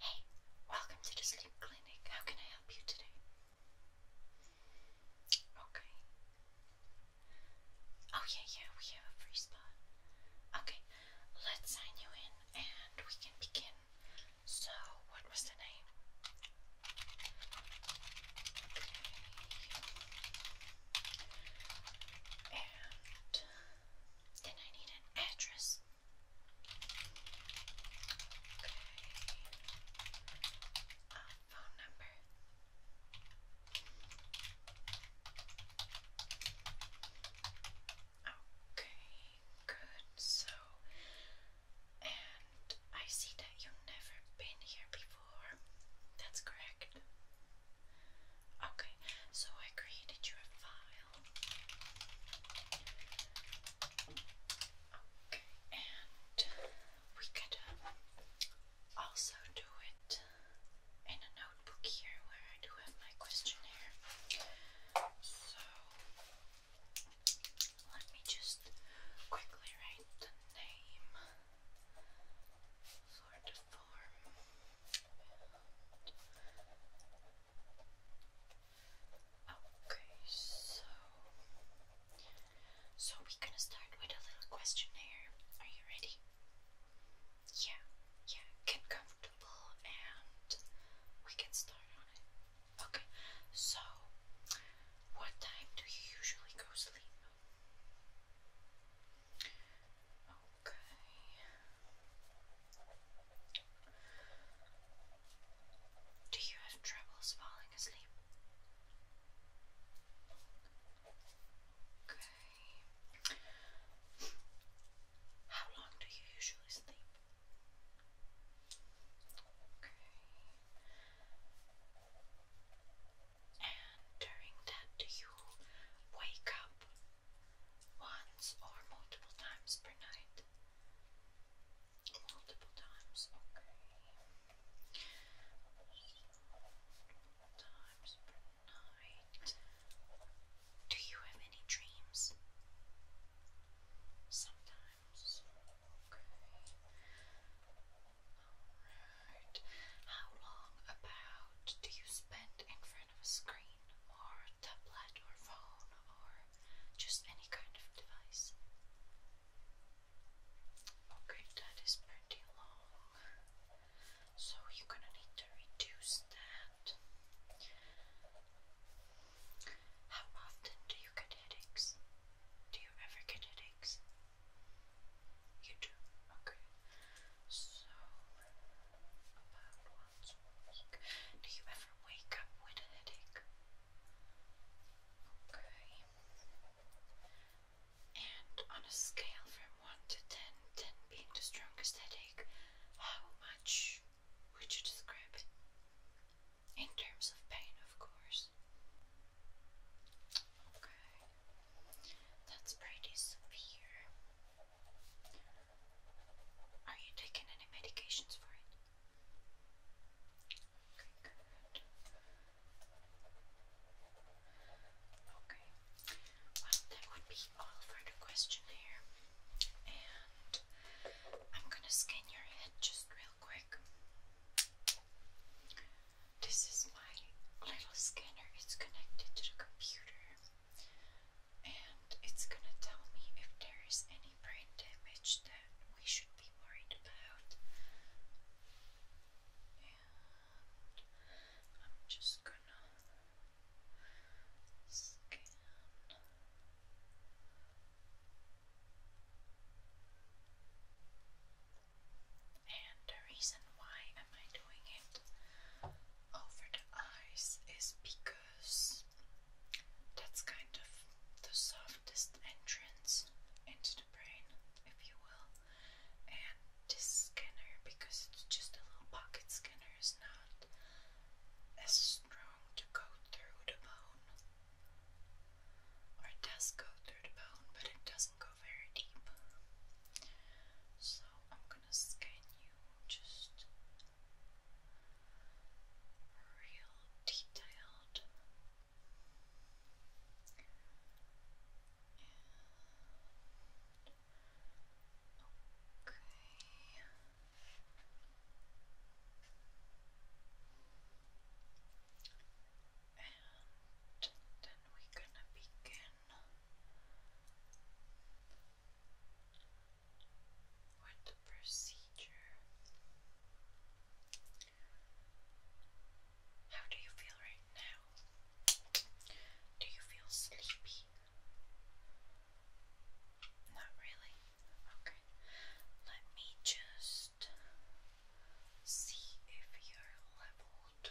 Hey, welcome to the sleep clinic. How can I help you today? Okay. Oh, yeah, yeah, we have a free spot. Okay, let's sign you in and we can begin. So, what was the name? And then I need an address. Uh, phone number. Okay, good. So, and I see that you've never been here before. That's correct. Okay, so I created you file. And we could uh, also do it in a notebook here where I do have my questionnaire. So let me just quickly write the name for the form. Okay, so so we're gonna start with a little questionnaire. Are you ready? Yeah, yeah. Get comfortable, and we can start on it. Okay. So, what time do you usually go sleep? Do you have troubles falling asleep? Okay. How long do you usually sleep? Okay. And during that, do you wake up once or multiple times per night? Multiple times, okay. Multiple times per night. Do you have any dreams? Sometimes, okay. Alright. How long about do you spend in of a screen or tablet or phone or just any kind of device. Okay, that is pretty long, so you're gonna need to reduce that. How often do you get headaches? Do you ever get headaches? You do? Okay. So about once a week. Do you ever wake up with a headache? Okay. And on a scale from 1 to 10, being the strongest headache, how much would you describe it? In terms of pain, of course. Okay. That's pretty severe. Are you taking any medications for it? Okay, good. Okay. Well, that would be all for the questionnaire. And I'm gonna scan your head just real quick. This is my little scanner, it's connected to the computer and it's gonna tell me if there is any brain damage that we should be worried about. And I'm just gonna scan. And the reason why am I doing it over the eyes is because that's kind of the softest entrance into the brain, if you will. And this scanner, because it's just a little pocket scanner, is not as strong to go through the bone. Or does go through the bone, but it doesn't go very deep. So I'm gonna scan you just real detailed okay. And then we're gonna begin or the procedure. How do you feel right now? Do you feel sleepy? Not really. Okay. Let me just see if you're leveled.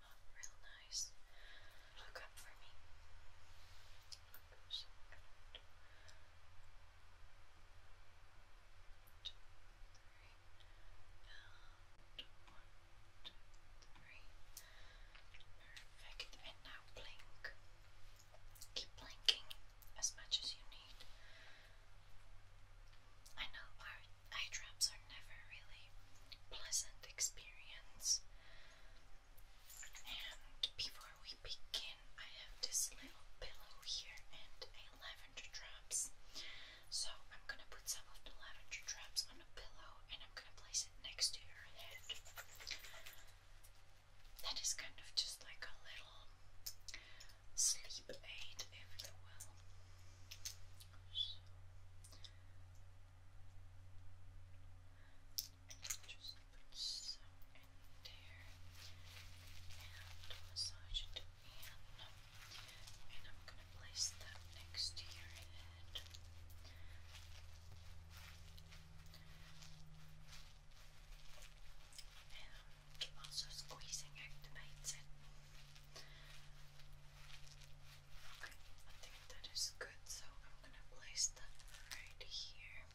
them real nice. Look up for me. Oops. Perfect. And now blink. Keep blinking as much as you need. I know our Eye drops are never really pleasant experience. And before we begin, I have this little pillow here and a lavender drops. So I'm gonna put some of the lavender drops on a pillow and I'm gonna place it next to your head. That is kind of just like a little sleep aid, if you will. Just put some in there and massage it And I'm gonna place that next to your head. And also squeezing activates it. Okay, I think that is good, so I'm gonna place that right here.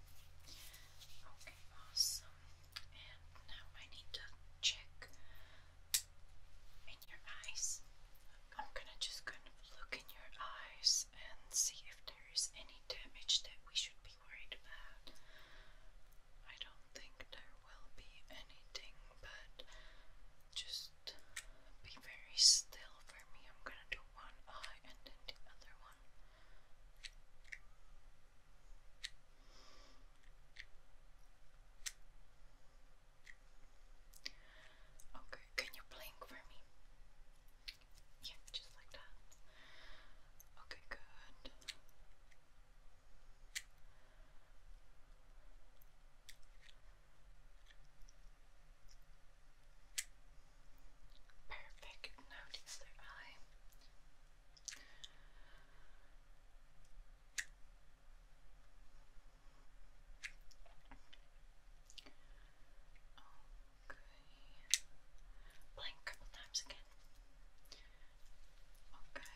Okay, awesome. And now I need to check in your eyes. I'm gonna just kind of look in your eyes and see if there is any damage that we should be worried about. I don't think there will be anything, but just be very still for me. I'm gonna do one eye and then the other one. Okay, can you blink for me? Yeah, just like that. Okay, good. Perfect. Now the Okay. Blink a times again. Okay.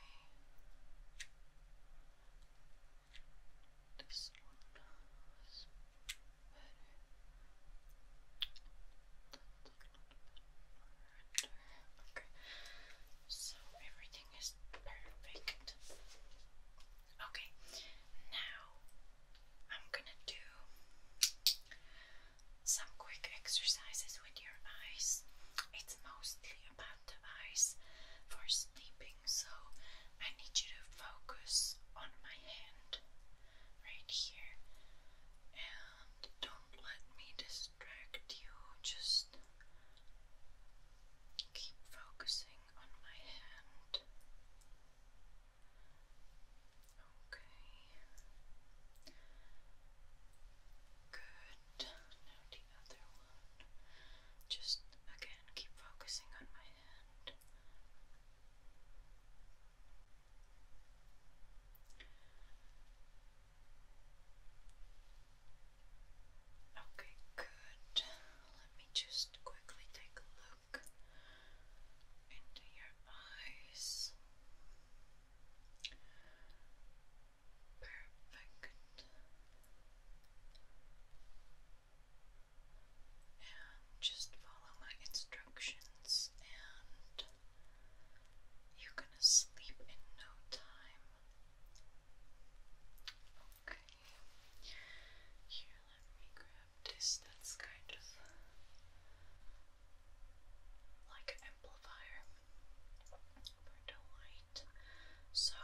Okay. So everything is perfect. Okay. Now I'm gonna do some quick exercises with your eyes. It's mostly about the eyes for sleeping, so I need you to focus on my hand right here and don't let me distract you. Just keep focusing on my hand. Okay. Good. Just again, keep focusing on my hand. Okay, good. Let me just quickly take a look into your eyes. Perfect and just follow my instructions, and you're gonna sleep in no time. Okay, here, let me grab this. That's kind of like an amplifier for light. So,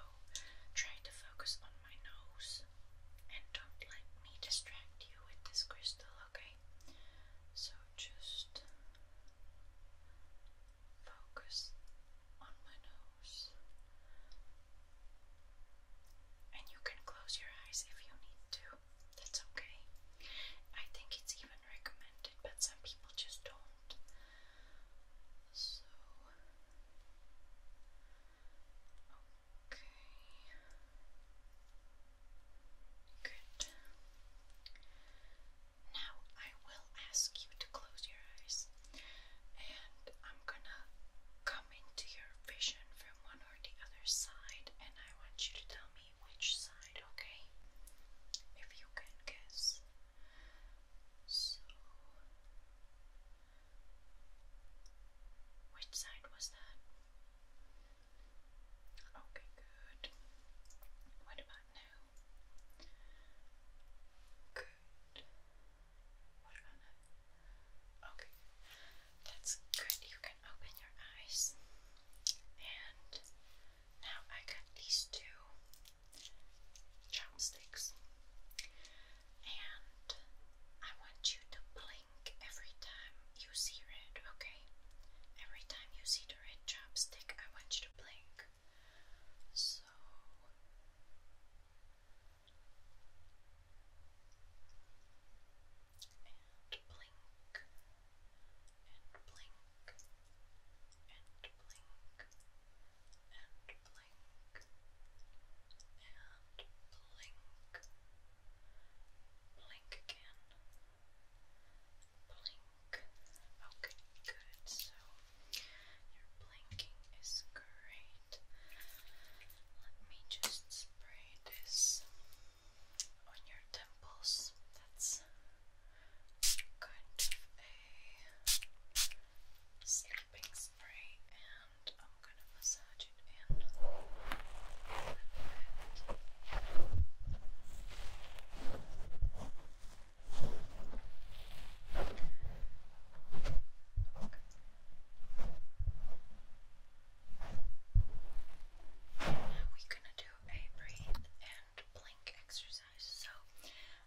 try to focus on my nose and don't let me distract you with this crystal, okay? So, just focus on my nose. And you can close your eyes if you need to. That's okay. I think it's even recommended, but some people just don't. So okay. Good. Now I will ask you to close your eyes and I'm gonna come into your vision from one or the other side and I want you to tell me which side, okay? If you can guess. So which side was that? Okay, good. What about now? Good. What about now? Okay, that's good. You can open your eyes. And now I got these two chopsticks. And I want you to blink every time you see red, okay? Every time you see the red chopstick, I want you to blink. So blink and blink and blink and blink blink and blink, blink again, blink. Okay, good. So your blinking is great. Let me just spray this on your temples. That's kind of a sleeping spray and I'm gonna massage it in we're gonna do a breathe and blink exercise. So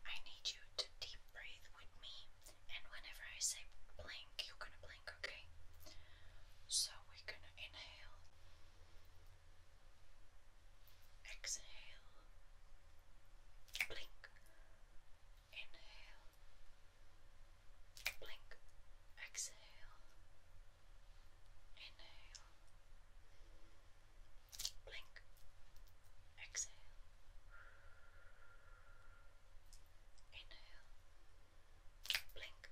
I need you to deep breathe with me, and whenever I say blink, you're gonna blink, okay? So we're gonna inhale, exhale, blink, inhale, blink, exhale, inhale, blink, Exhale. Inhale. Blink.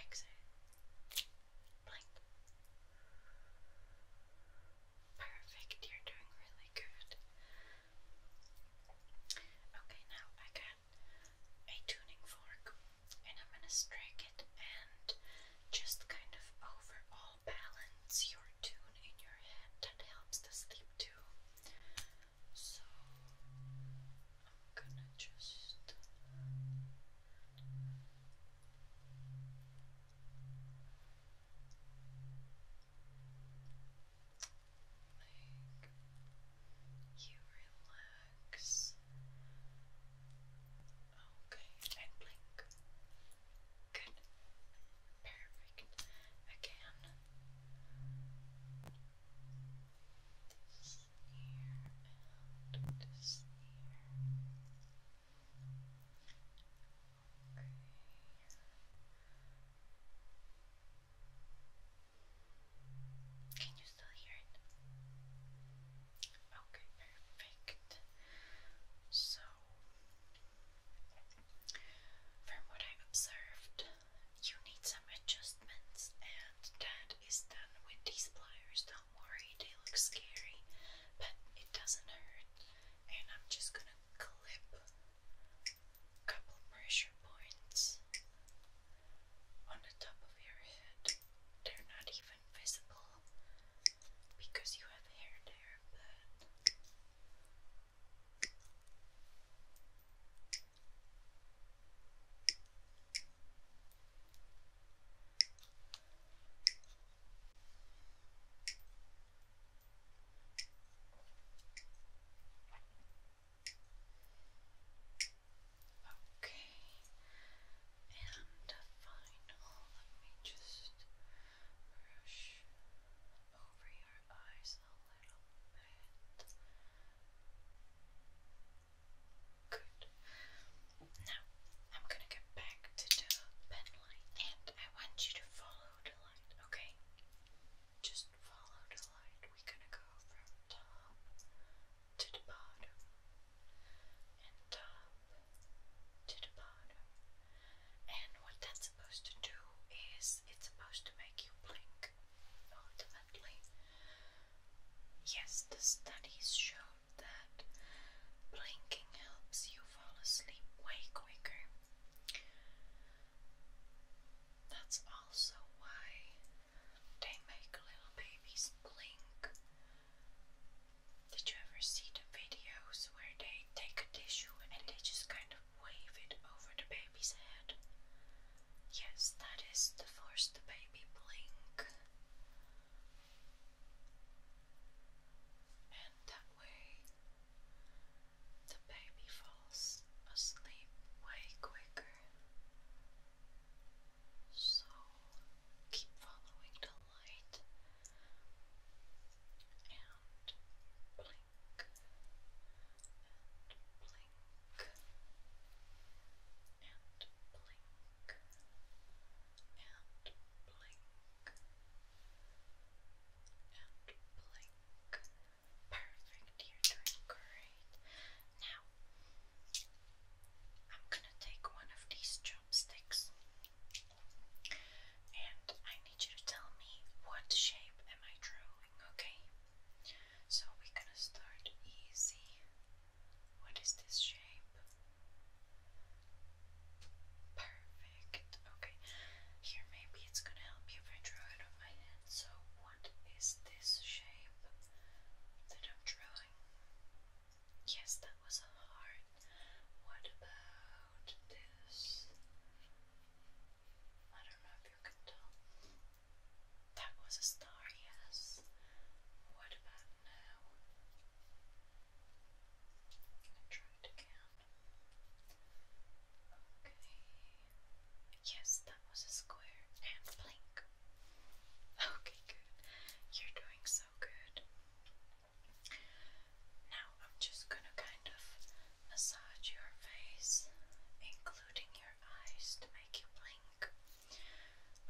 Exhale. Blink. Perfect, you're doing really good. Okay, now I got a tuning fork and I'm gonna strike it and just kind of over balance your tune in your head that helps the sleep too. So I'm gonna just make you relax. Okay, and blink. Good perfect again. This ear and this ear. Okay. Can you still hear it? Okay, perfect. So, from what I observed, you need some adjustments, and that is done with these pliers. Don't worry, they look scary, but it doesn't hurt. And I'm just gonna clip a couple pressure points on the top of your head. They're not even visible because you have hair there, but Okay, and final, let me just Good. Now, I'm gonna get back to the pen and I want you to follow the light. okay? Just follow the line. We're gonna go from top to the bottom and top to the bottom. And what that's supposed to do is it's supposed to make you blink ultimately. Yes, the studies show that blinking helps you fall asleep way quicker. That's also why they make little babies blink did you ever see the videos where they take a tissue and they just kind of wave it over the baby's head? Yes, that is to force the baby blink. And that way the baby falls asleep way quicker. So keep following the light and blink and blink and blink and blink and blink. Perfect, you're doing great. Now, I'm gonna take one of these chopsticks and I need you to tell me what shape am I drawing, okay? So we're gonna start easy. What is this shape? Perfect. Okay. Here maybe it's gonna help you if I draw it on my hand. So what is this shape that I'm drawing? Yes, that was a heart. What about this? I don't know if you can tell. That was a star, yes. What about now? I'm gonna try Okay. Yes, that was a square and blink. Okay, good. You're doing so good. Now I'm just going to kind of massage your face, including your eyes, to make you blink,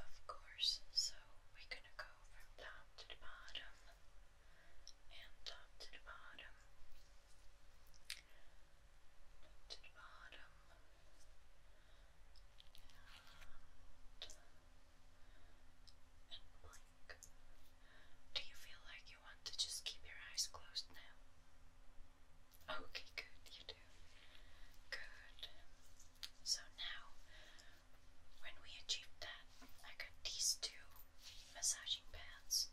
of course. So we're going to go from top to the bottom and top to the bottom. to the bottom, and do you feel like you want to just keep your eyes closed now? Okay, good, you do. Good. So now, when we achieve that, I got these two massaging pads.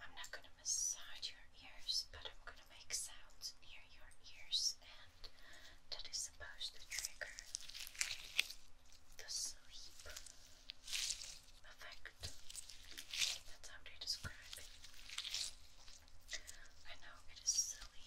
I'm not gonna massage your ears, but I'm gonna make sounds near your ears, and that is supposed to trigger the sleep effect. That's how they describe it. I know it is silly.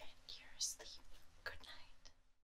And you're asleep. Good night.